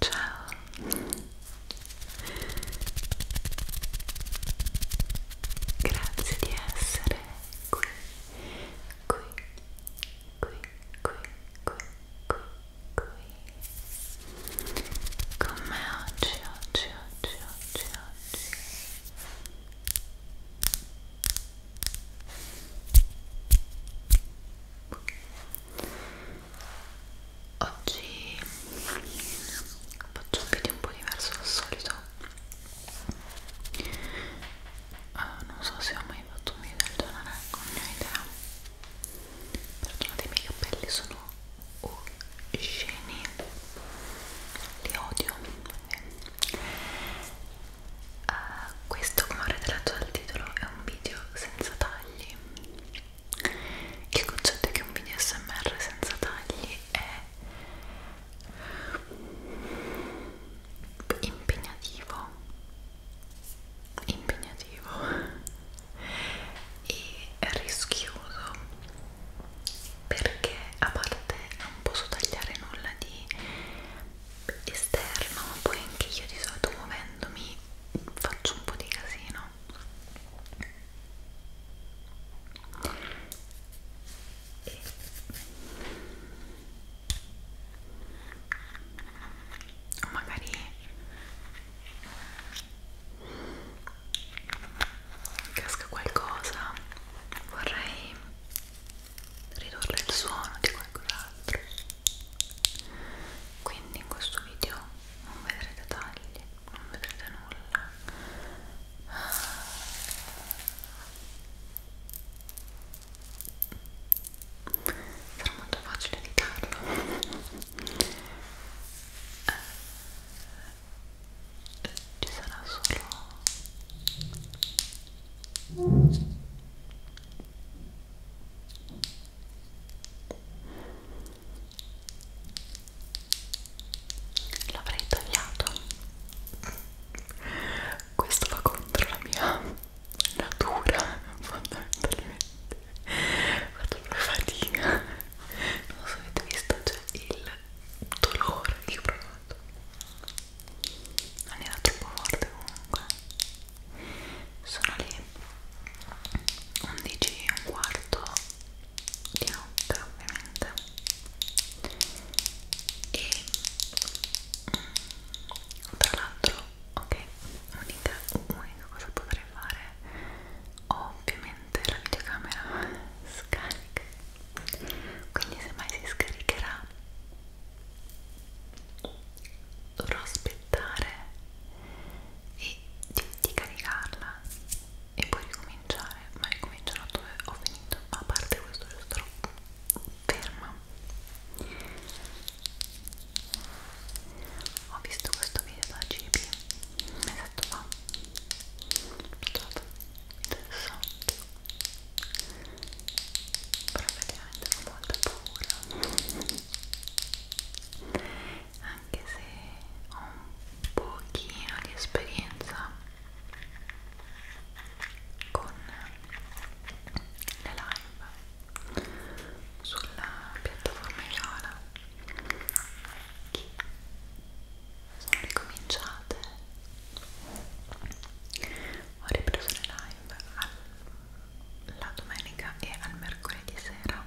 Ciao. Grazie di essere qui, qui, come oggi, oggi, oggi, oggi, oggi Oggi faccio un video un po' diverso dal solito uh, non so se ho mai fatto un video del genere con mia idea perdonate i miei capelli sono uscini li odio uh, questo come avrete letto dal titolo è un video senza tagli il concetto è che un video smr senza tagli è impegnativo impegnativo e rischioso perché a parte non posso tagliare nulla di esterno ma poi anche io di solito muovendomi faccio un po' di casino e o magari casca qualcosa vorrei ridurre il suono di qualcos'altro quindi in questo video non vedrete tagli non vedrete nulla sarà molto facile editarlo eh, ci sarà solo l'avrei tagliato questo va contro la mia natura fondamentalmente faccio proprio fatica non so avete visto cioè il dolore che ho provato non era troppo forte comunque sono lì 11 e un quarto di notte ovviamente e tra l'altro ok unica unica cosa potrei fare ovviamente la videocamera scarica quindi se mai si scaricherà dovrò aspettare e di, di caricarla e poi ricominciare ma ricomincerò dove ho finito a parte questo giusto ferma ho visto questo video da Gibi un mesetto fa ah, l'ho trovato interessante però effettivamente ho molta paura anche se ho un pochino di esperienza con le live sulla piattaforma Iola che sono ricominciate ho ripreso le live al, la domenica e al mercoledì sera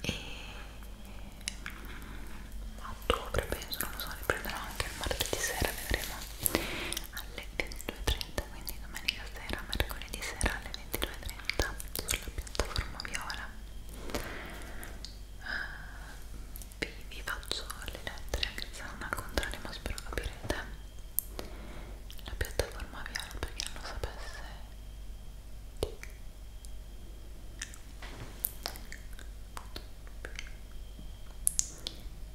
e mm, a ottobre penso non lo so riprenderò anche il martedì sera vedremo alle 22.30 quindi domenica sera, mercoledì sera alle 22.30 sulla piattaforma viola uh, vi, vi faccio le lettere anche se non al contrario ma spero capirete la piattaforma viola per chi non lo sapesse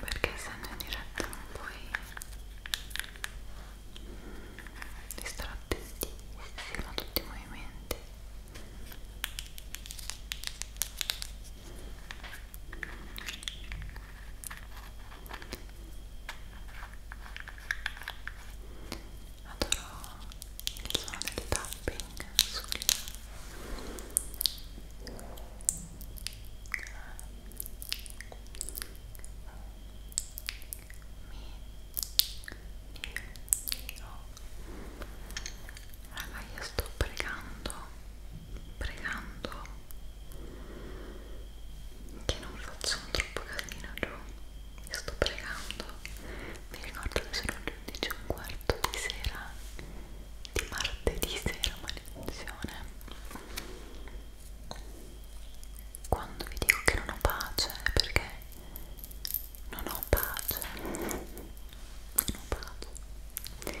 perché essendo in diretta non puoi distratti da tutti i movimenti adoro il suono del tapping sul mi oh. raga io sto pregando pregando che non facciamo troppo casino giù sto pregando mi ricordo che sono le 11 e un quarto di sera di martedì sera maledizione quando vi dico che non ho pace è perché non ho pace non ho pace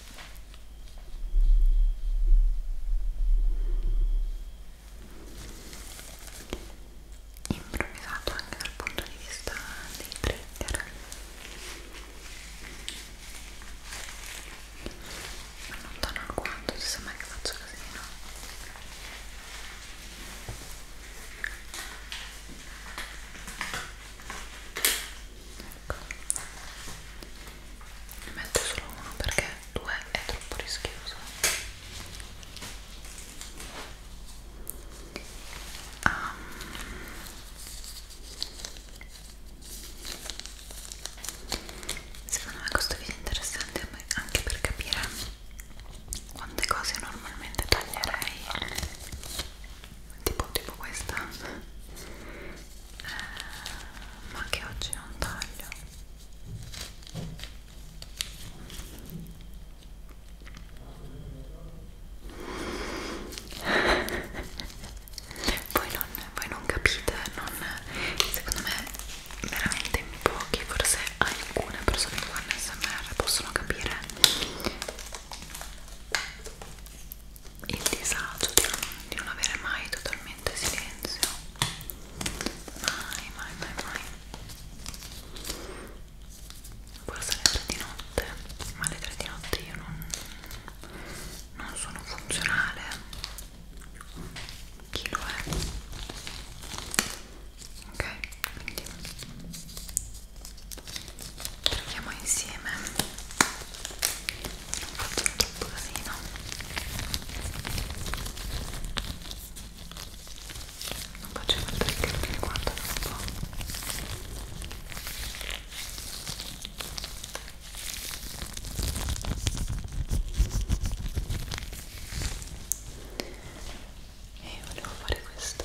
improvvisato anche dal punto di vista dei trigger mi allontano al quanto ci sembra che faccio così no? ecco ne metto solo uno perché due è troppo rischioso um, secondo me questo video è interessante anche per capire quante cose normalmente taglierei tipo, tipo questa eh, ma che oggi non taglio voi, non, voi non capite non, secondo me veramente in pochi forse alcune persone che fanno smr possono capire il disagio di non, di non avere mai totalmente silenzio mai mai mai mai forse alle 3 di notte ma alle 3 di notte io non, non sono funzionale chi lo è ok quindi proviamo insieme Faccio tutto così, no? Non faccio molto il perché guarda un po'. E volevo fare questo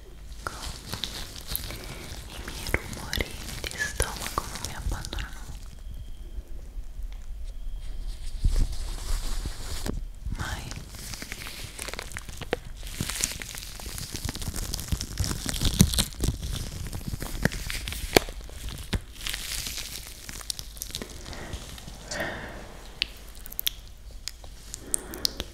ecco i miei rumori di stomaco non mi abbandonano mai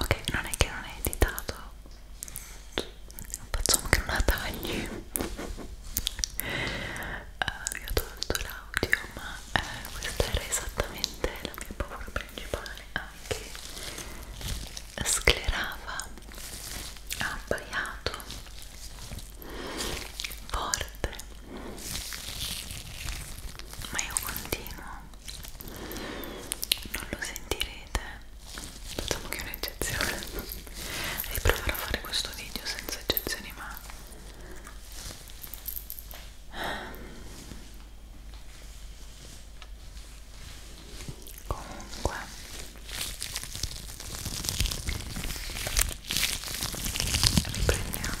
ok non è che non è editato facciamo che non la tagli uh, io ho tolto l'audio ma eh, questa era esattamente la mia paura principale anche sclerava abbaiato forte ma io continuo non lo sentirete facciamo che è un'eccezione riproverò a fare questo video senza eccezioni ma comunque riprendiamo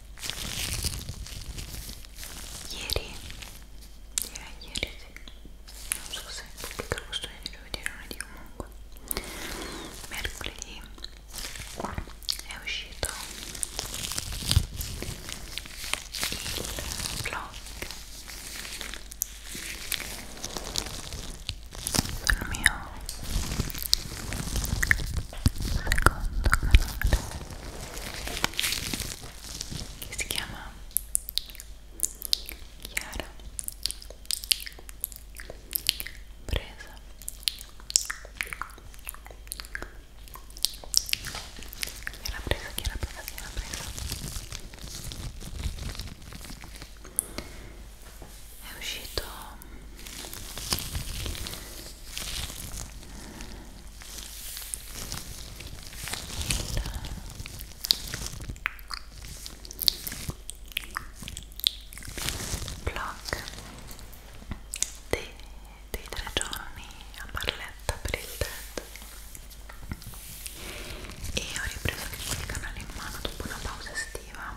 ieri direi ieri sì non so se pubblico questo video vedere lunedì comunque mercoledì è uscito il vlog sul mio secondo canale che si chiama Chiara presa Chiara presa, Chiara presa, Chiara presa è uscito blog dei, dei tre giorni a Barletta per il TED e ho ripreso anche quel canale in mano dopo una pausa estiva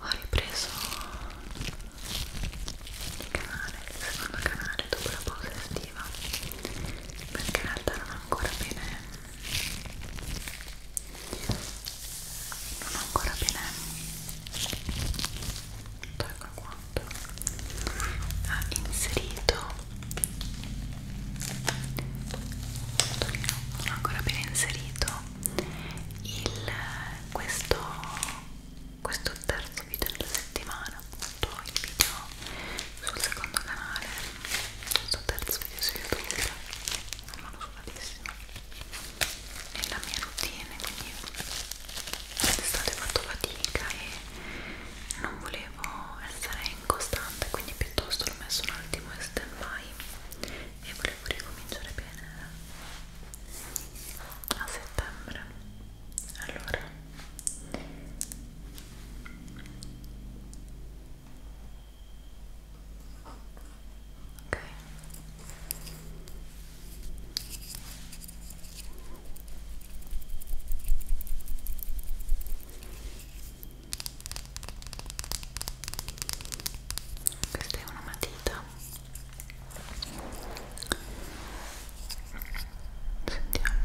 Ho ripreso il canale, il secondo canale dopo la pausa estiva perché in realtà non ho ancora bene non ho ancora bene 8 ecco quanto ha inserito non ancora ben inserito il, questo questo terzo video della settimana appunto il video sul secondo canale questo terzo video su youtube non sono sudatissimo nella mia routine quindi d'estate ho fatto fatica e non volevo essere incostante quindi piuttosto l'ho messo un attimo in stand by e volevo ricominciare bene a settembre allora ok questa è una matita. Sentiamo. Aspettate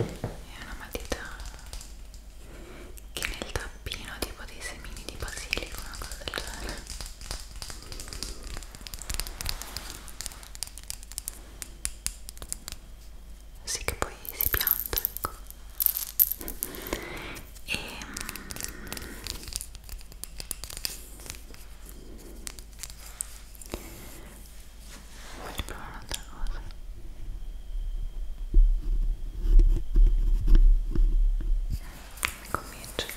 è una matita che nel tappino tipo dei semini di basilico una cosa del genere sì che poi si pianta ecco e mm, voglio provare un'altra cosa mi convince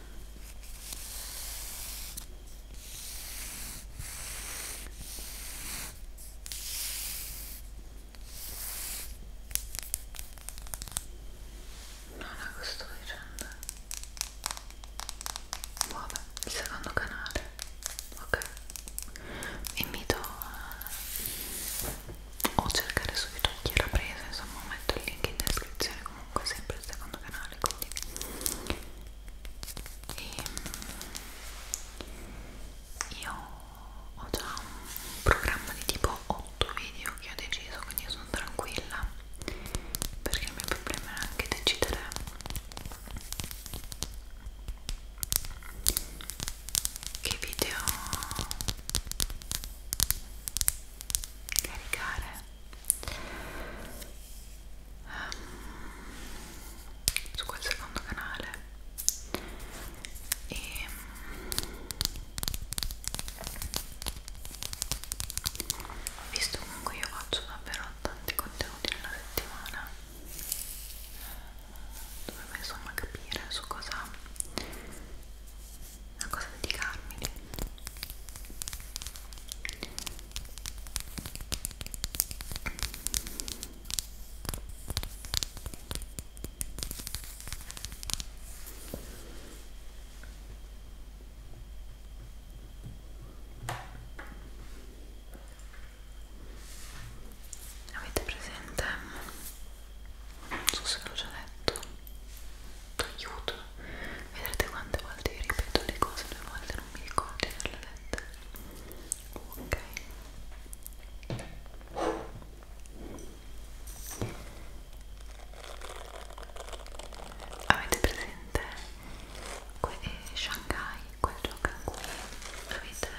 No, no, cosa sto dicendo? Vabbè, il secondo canale, ok? Vi invito a o cercare su YouTube chi era presa, insomma metto il link in descrizione comunque ecco, sempre il secondo canale quindi e ehm, io ho già un programma di tipo 8 video che ho deciso quindi io sono tranquilla perché il mio problema era anche decidere che video caricare um, su quel secondo canale e mm, visto comunque io faccio davvero tanti contenuti nella settimana eh, dovevo insomma capire su cosa a cosa dedicarmi avete presente non so se l'ho già detto aiuto vedrete quante volte vi ripeto le cose due volte non mi ricordo di averle dette ok avete presente que eh, Shanghai quel gioco in cui avete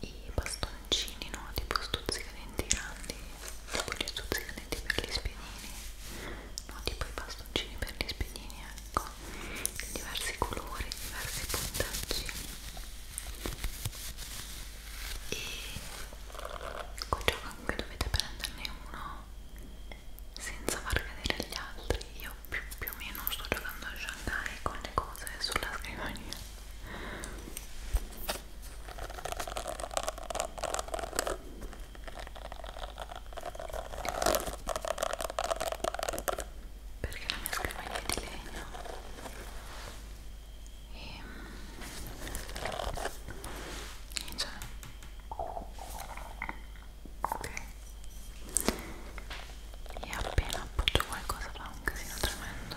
i bastoncini no tipo stuzzica di bastoncini grandi tipo gli azzuzzicadenti per gli spiedini no tipo i bastoncini per gli spiedini ecco diversi colori diversi puntaggi e col gioco anche dovete prenderne uno senza far cadere gli altri io più, più o meno sto giocando a Shanghai con le cose sulla scrivania perché la mia scrivania è di legno e ehm, cioè ok e appena appoggio qualcosa fa un casino tremendo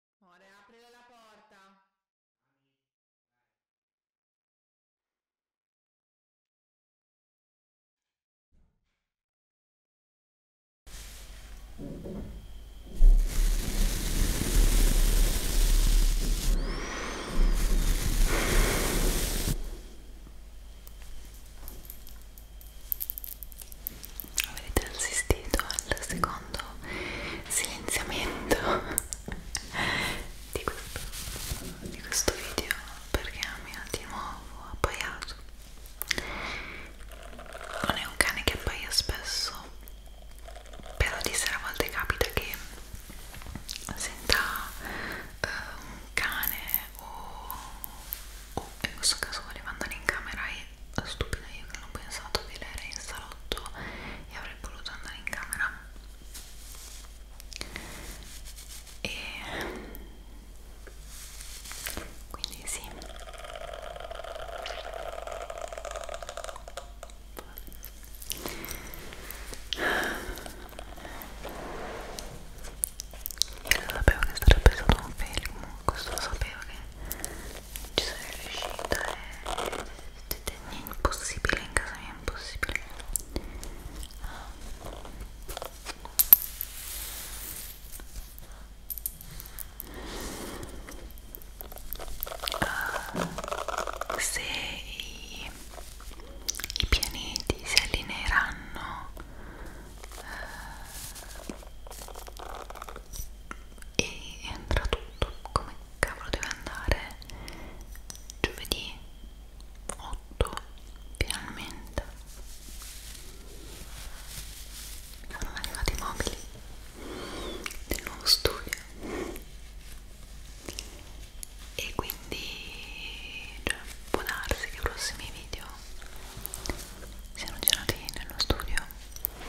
Ora aprire la porta. Avete assistito al secondo profondo silenziamento di questo, di questo video perché mi ha di nuovo appaiato non è un cane che appaia spesso però di sera a volte capita che senta eh, un cane o, o in questo caso volevano andare in camera e stupida io che non ho pensato che lei era in salotto e avrei voluto andare in camera e quindi sì io lo sapevo che sarebbe stato un film, questo lo sapevo che ci sono riuscita è eh. impossibile in casa mia è impossibile uh, se i, i pianeti si allineeranno uh, e entra tutto come cavolo deve andare giovedì 8 finalmente mi sono arrivati i mobili del nuovo studio e quindi cioè, può darsi che i prossimi video siano girati nello studio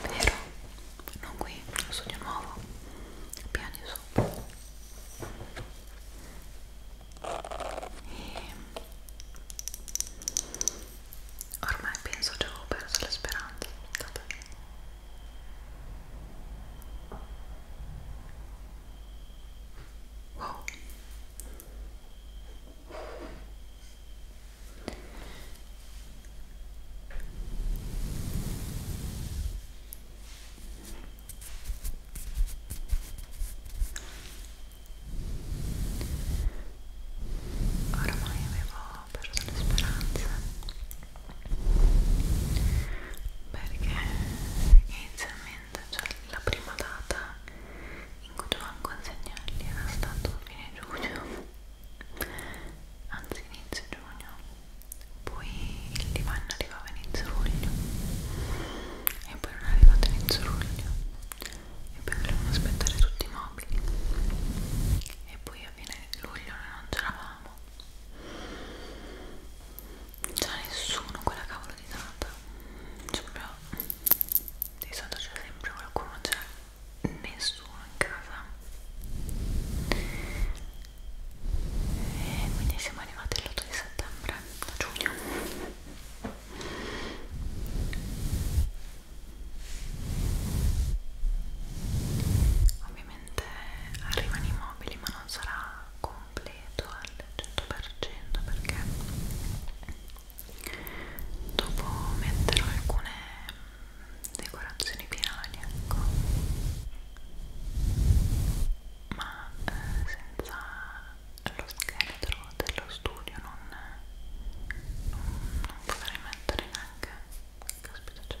vero? non qui, un sogno nuovo piani sopra e ormai penso che avevo perso le speranze wow Ormai avevo perso le speranze perché inizialmente, cioè la prima data in cui dovevamo consegnarli era stato fine giugno anzi inizio giugno poi il divano arrivava inizio luglio e poi non è arrivato inizio luglio e poi dovremmo aspettare tutti i mobili e poi a fine luglio noi non ce l'avamo non c'era nessuno quella cavolo di data cioè proprio di sotto c'è sempre qualcuno c'è nessuno in casa e quindi siamo arrivati all'8 di settembre a giugno ovviamente arrivano i mobili ma non sarà completo al 100% perché dopo metterò alcune decorazioni finali ecco ma eh, senza lo scheletro dello studio non, non, non potrei mettere neanche caspita c'è cioè.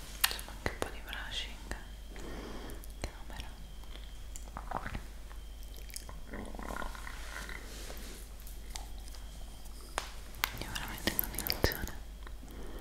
facciamo anche un po' di brushing camera io veramente in continuazione ok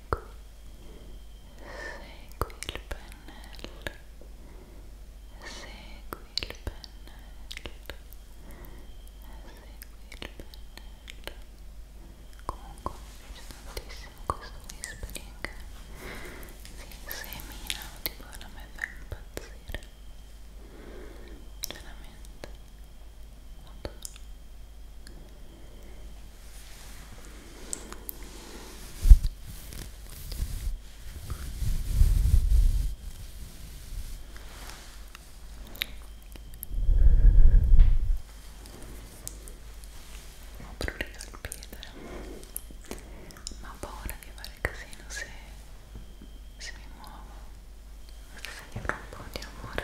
ecco segui il pennello segui il pennello segui il pennello comunque mi piace tantissimo questo whispering si semina tipo la me fa impazzire veramente Adoro. Ho prurito il piede, ma ho paura di fare casino se, se mi muovo. Questo è un po' di amore.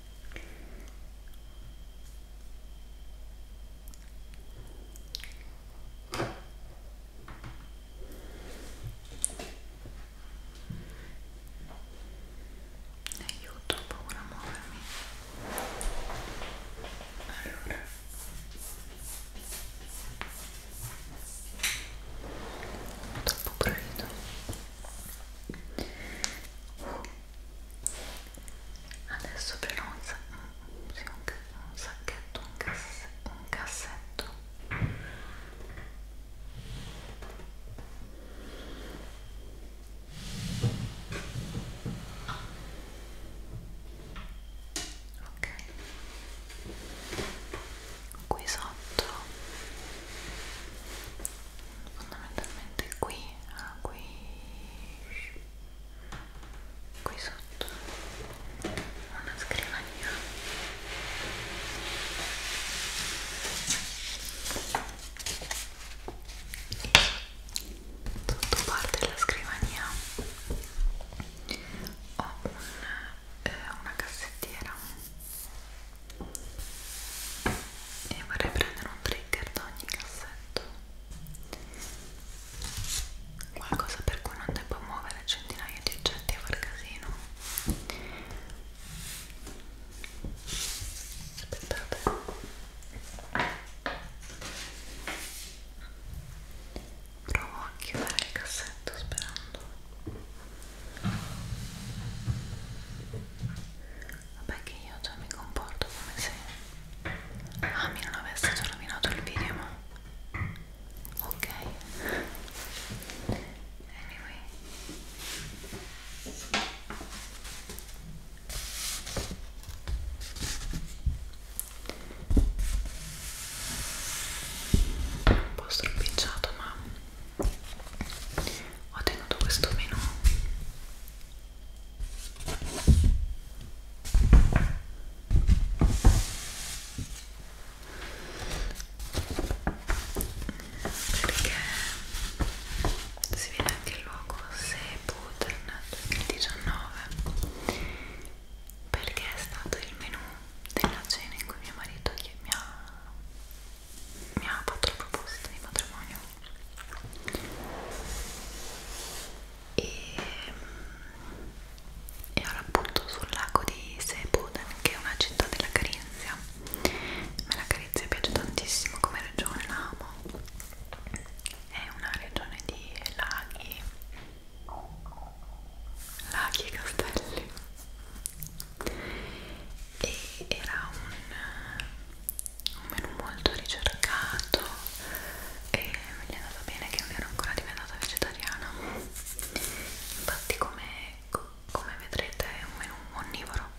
aiuto, ho paura a muovermi allora troppo prolido adesso però un, sa un, sì, un, un sacchetto un, casse un cassetto ok qui sotto fondamentalmente qui a ah, qui qui sotto una scrivania e sotto parte della scrivania ho un, eh, una cassettiera e vorrei prendere un trio sticker da ogni cassetto qualcosa per cui non devo muovere centinaia di oggetti a far casino aspettate provo a chiudere il cassetto sperando Vabbè che io già mi comporto come se Ami ah, non avesse già rovinato il video ma ok anyway un po' stropicciato ma ho tenuto questo menu perché si vede anche il luogo Sepulten 2019 perché è stato il menù della cena in cui mio marito mi ha, mi ha fatto la proposta di matrimonio e, e ora appunto sul lago di Seboden che è una città della Carinzia ma la Carinzia piace tantissimo come regione, la amo è una regione di laghi laghi e castelli e era un un menù molto ricercato e mi è andata bene che non ero ancora diventata vegetariana infatti come, come vedrete è un menù onnivoro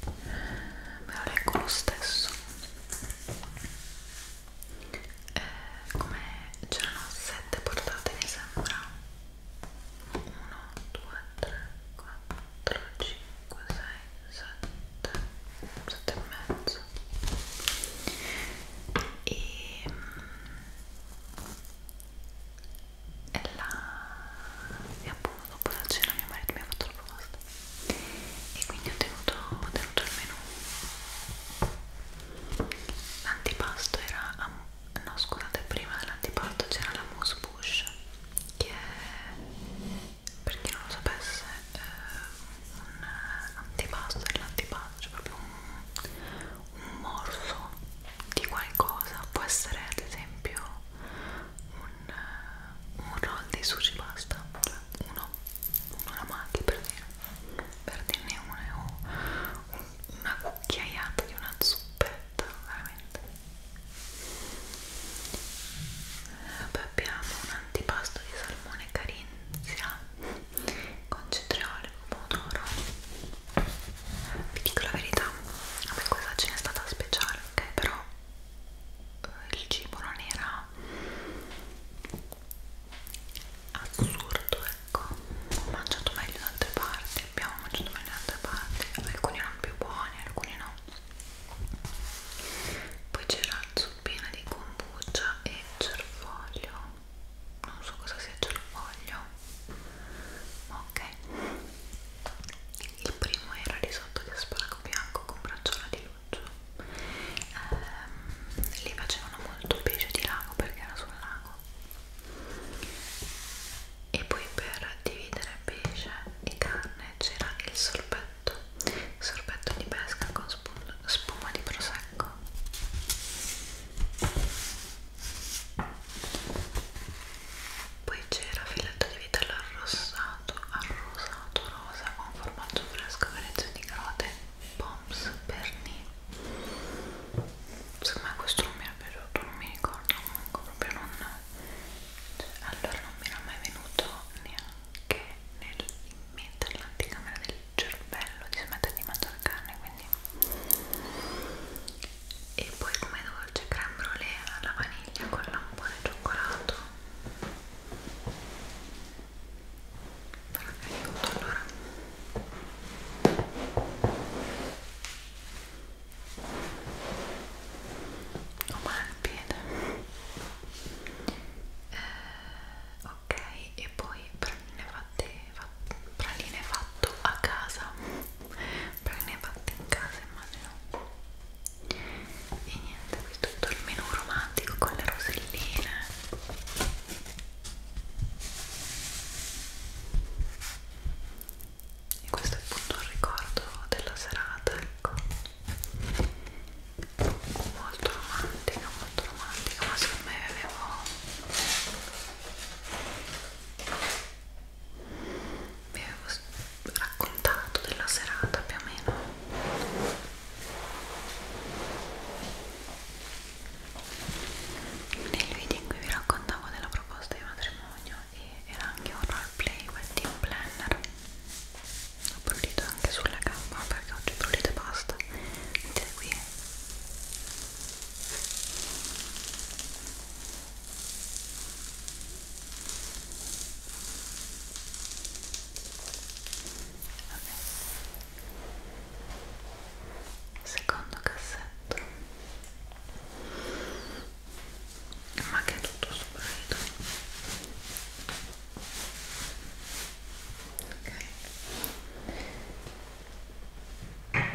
ve lo leggo lo stesso eh, come c'erano sette portate mi sembra 7 e mezzo e, e, la, e appunto dopo la cena mio marito mi ha fatto la proposta e quindi ho tenuto, ho tenuto il menù l'antipasto era, no scusate prima dell'antipasto c'era la mousse bush che per chi non lo sapesse è eh, un antipasto e l'antipasto cioè proprio un, un morso di qualcosa può essere ad esempio un, un roll di sushi pasta cioè uno, uno la mangi per dire per dirne una o una cucchiaiata di una zuppetta veramente abbiamo un antipasto di salmone carinzia con cetriolo pomodoro vi dico la verità a me questa ce n'è stata speciale ok però eh, il cibo non era assurdo ecco ho mangiato meglio da altre parti abbiamo mangiato dalle altre parti alcuni erano più buoni alcuni no poi c'era zuppina di kombucha e cervoglio non so cosa sia cervoglio ok il primo era risotto di asparago bianco con bracciola di luccio ehm, lì facevano molto pesce di lago perché era sul lago e poi per dividere pesce e carne c'era il sorbetto sorbetto di pesca con spuma, spuma di prosecco poi c'era filetto di vitello arrossato arrosato rosa con formaggio fresco grezzo di carote poms perni secondo me questo non mi era piaciuto non mi ricordo comunque proprio non allora non mi era mai venuto neanche nel, in mente nell'anticamera del cervello di smettere di mangiare carne quindi e poi come dolce creme brulee alla vaniglia con lampone e cioccolato però è tutto allora ho male al piede eh, ok e poi praline fatte, fatte praline fatto a casa praline fatte in casa immagino e niente qui tutto il menù romantico con le roselline e questo è appunto un ricordo della serata ecco molto romantica molto romantica ma secondo me avevo vi avevo raccontato della serata più o meno nel video in cui vi raccontavo della proposta di matrimonio e era anche un roleplay, wedding planner ho prurito anche sulla gamba perché oggi prurito e basta vedete qui Vabbè. secondo cassetto ma che è tutto sparito ok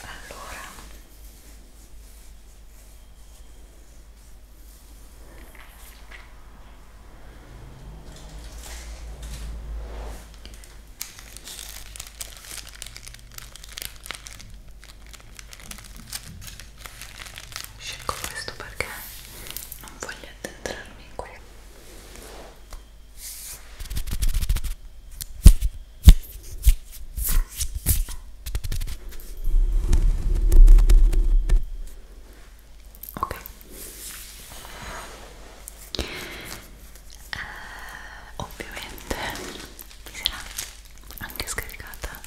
allora Scelgo questo perché non voglio addentrarmi in quello ok eh, ovviamente vi sarà anche scaricata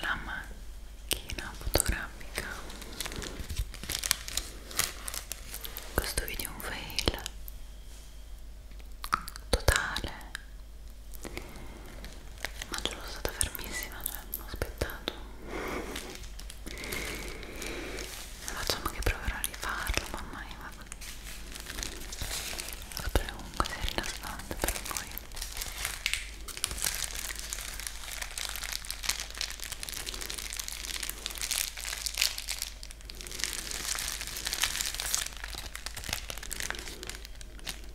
la macchina fotografica questo video è un fail totale ma ce l'ho stata fermissima cioè ho aspettato facciamo che proverò a rifarlo ma ormai vabbè sempre comunque si è rilassante per voi Ecco,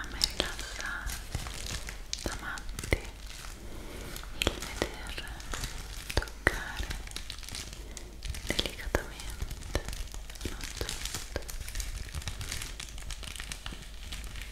A me rilassa da matti il veder toccare delicatamente un oggetto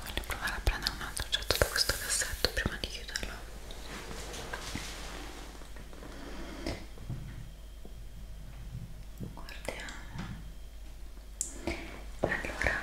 Voglio provare a prendere un altro oggetto da questo cassetto prima di chiuderlo. Guardiamo. Allora.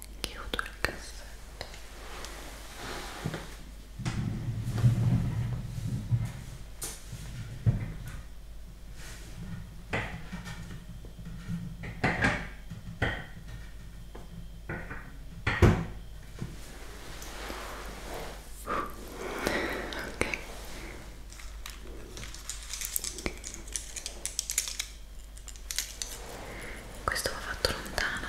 chiudo il cassetto ok questo va fatto lontano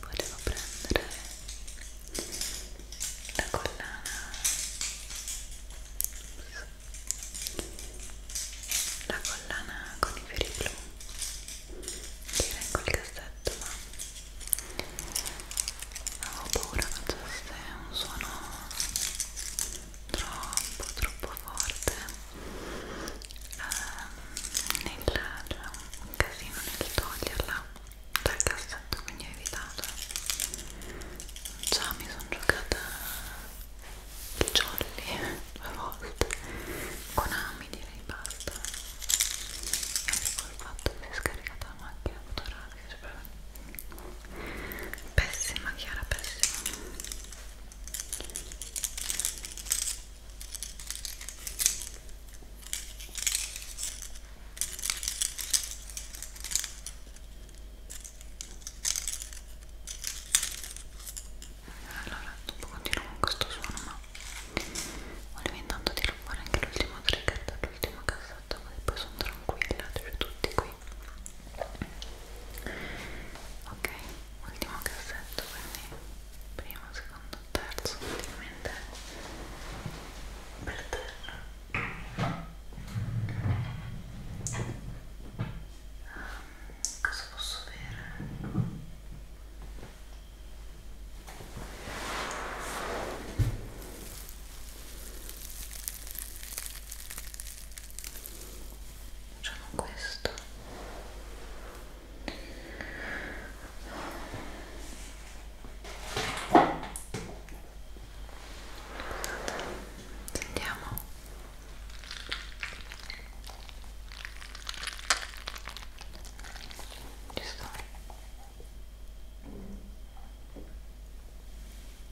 Volevo prendere la collana la collana con i fiori blu che era in quel cassetto ma avevo paura che fosse un suono troppo troppo forte eh, nel, cioè, un casino nel toglierla dal cassetto quindi ho evitato già mi sono giocata il jolly due volte con ami direi basta e anche col fatto che si è scaricata la macchina fotografica piace per me pessima Chiara pessima allora dopo continuo con questo suono ma volevo intanto tirare fuori anche l'ultimo trigger dall'ultima cassetta così poi sono tranquilla cioè tutti qui ok ultimo cassetto quindi primo secondo terzo ultimamente per terra um, cosa posso avere? facciamo questo sentiamo ci sto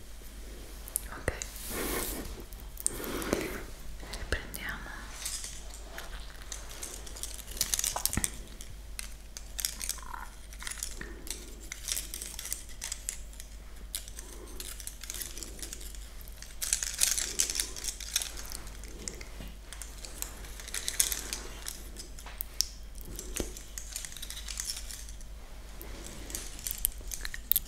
ok riprendiamo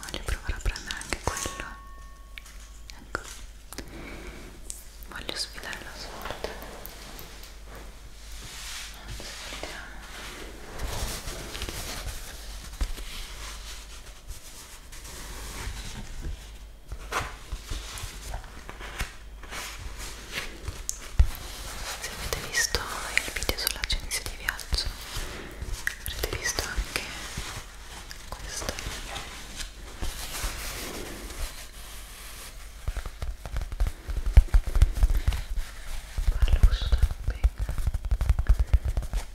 Voglio provare a prendere anche quello. Ecco. Voglio sfidare la sorte. Anzi, vediamo se avete visto il video sull'agenzia di viaggio avrete visto anche questo Palusso,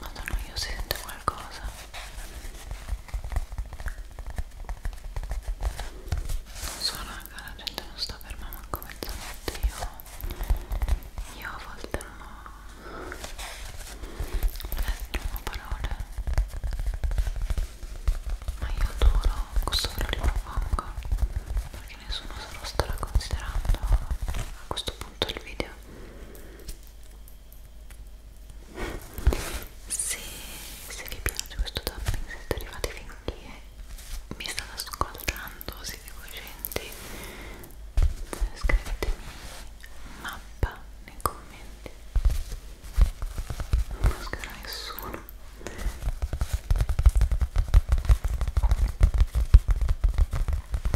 Madonna, io sento qualcosa. Non so raga, la gente non sta ferma manco mezzanotte. Io, io a volte non ho, non ho parole. Ma io adoro, questo ve lo ripropongo. Perché nessuno se lo starà considerando a questo punto il video se, se vi piace questo tapping se siete arrivati fin qui e mi state ascoltando siete cogenti scrivetemi mappa nei commenti non mascherò nessuno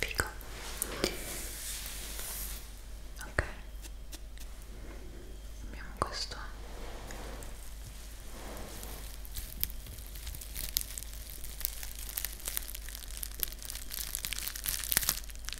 Fico. Ok. Abbiamo questo.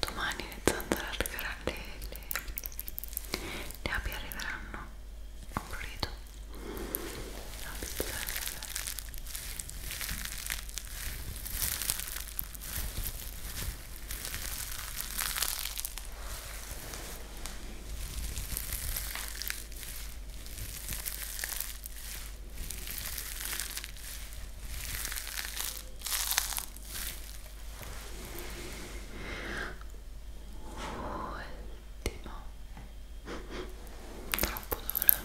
domani le zanzare arriveranno le, le, le api arriveranno ho un grido la pizzella Ecco Ultimo. Troppo d'ora.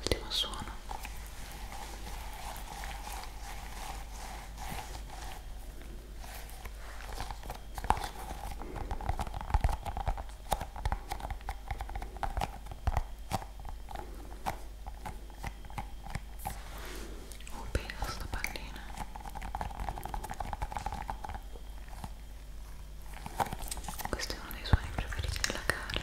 Ultimo suono un peso sta pallina questo è uno dei suoni preferiti della Carly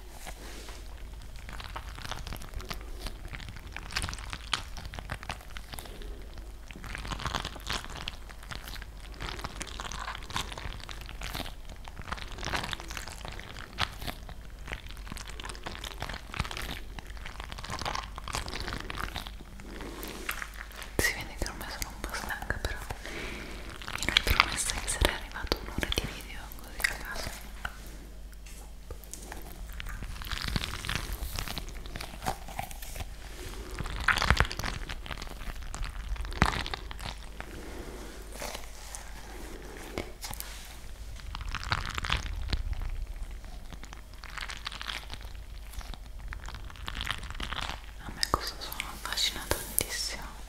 Si vede che ormai sono un po' stanca però mi ero promessa che sarei arrivato un'ora di video così a caso a me questo suono affascina tantissimo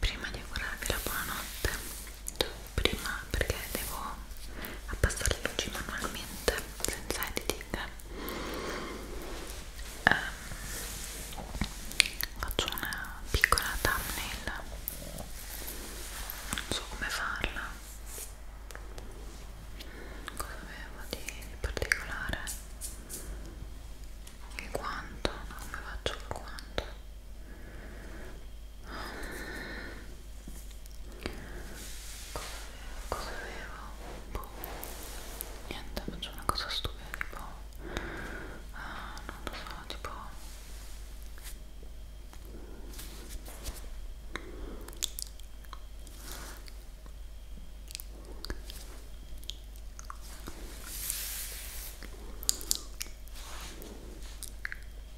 prima di augurarvi la buonanotte prima perché devo abbassare le luci manualmente senza editing eh, faccio una piccola thumbnail non so come farla cosa avevo di, di particolare il quanto, no, come faccio il quanto cosa avevo? Boh. niente faccio una cosa stupida tipo ah, non lo so tipo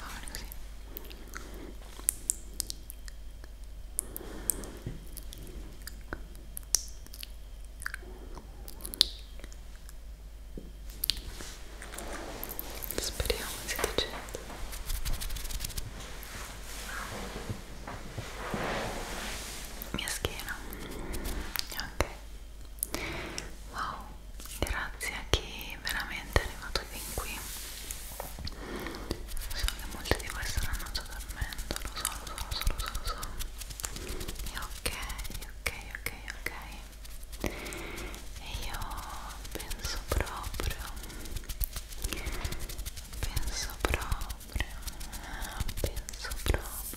Ah, così. Speriamo sia decente. Mia schiena. Ok. Wow grazie a chi veramente è arrivato fin qui so che molti di voi staranno già dormendo lo so, lo so, lo so, lo so, lo so. ok, ok, ok, ok e io penso proprio penso proprio penso proprio ma penso proprio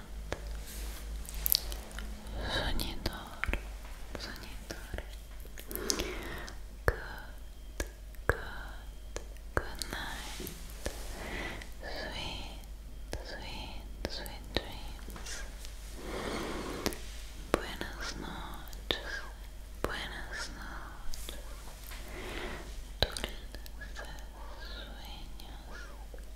Soñador, soñador. Good, good, good night. Sweet, sweet, sweet dreams. Buenas noches, buenas noches. Dulces sueños.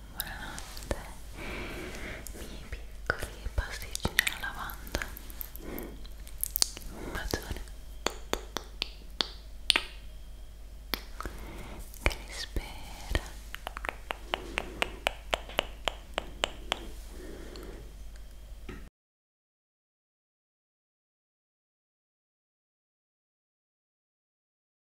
buonanotte miei piccoli pasticcini alla lavanda un bacione che vi spera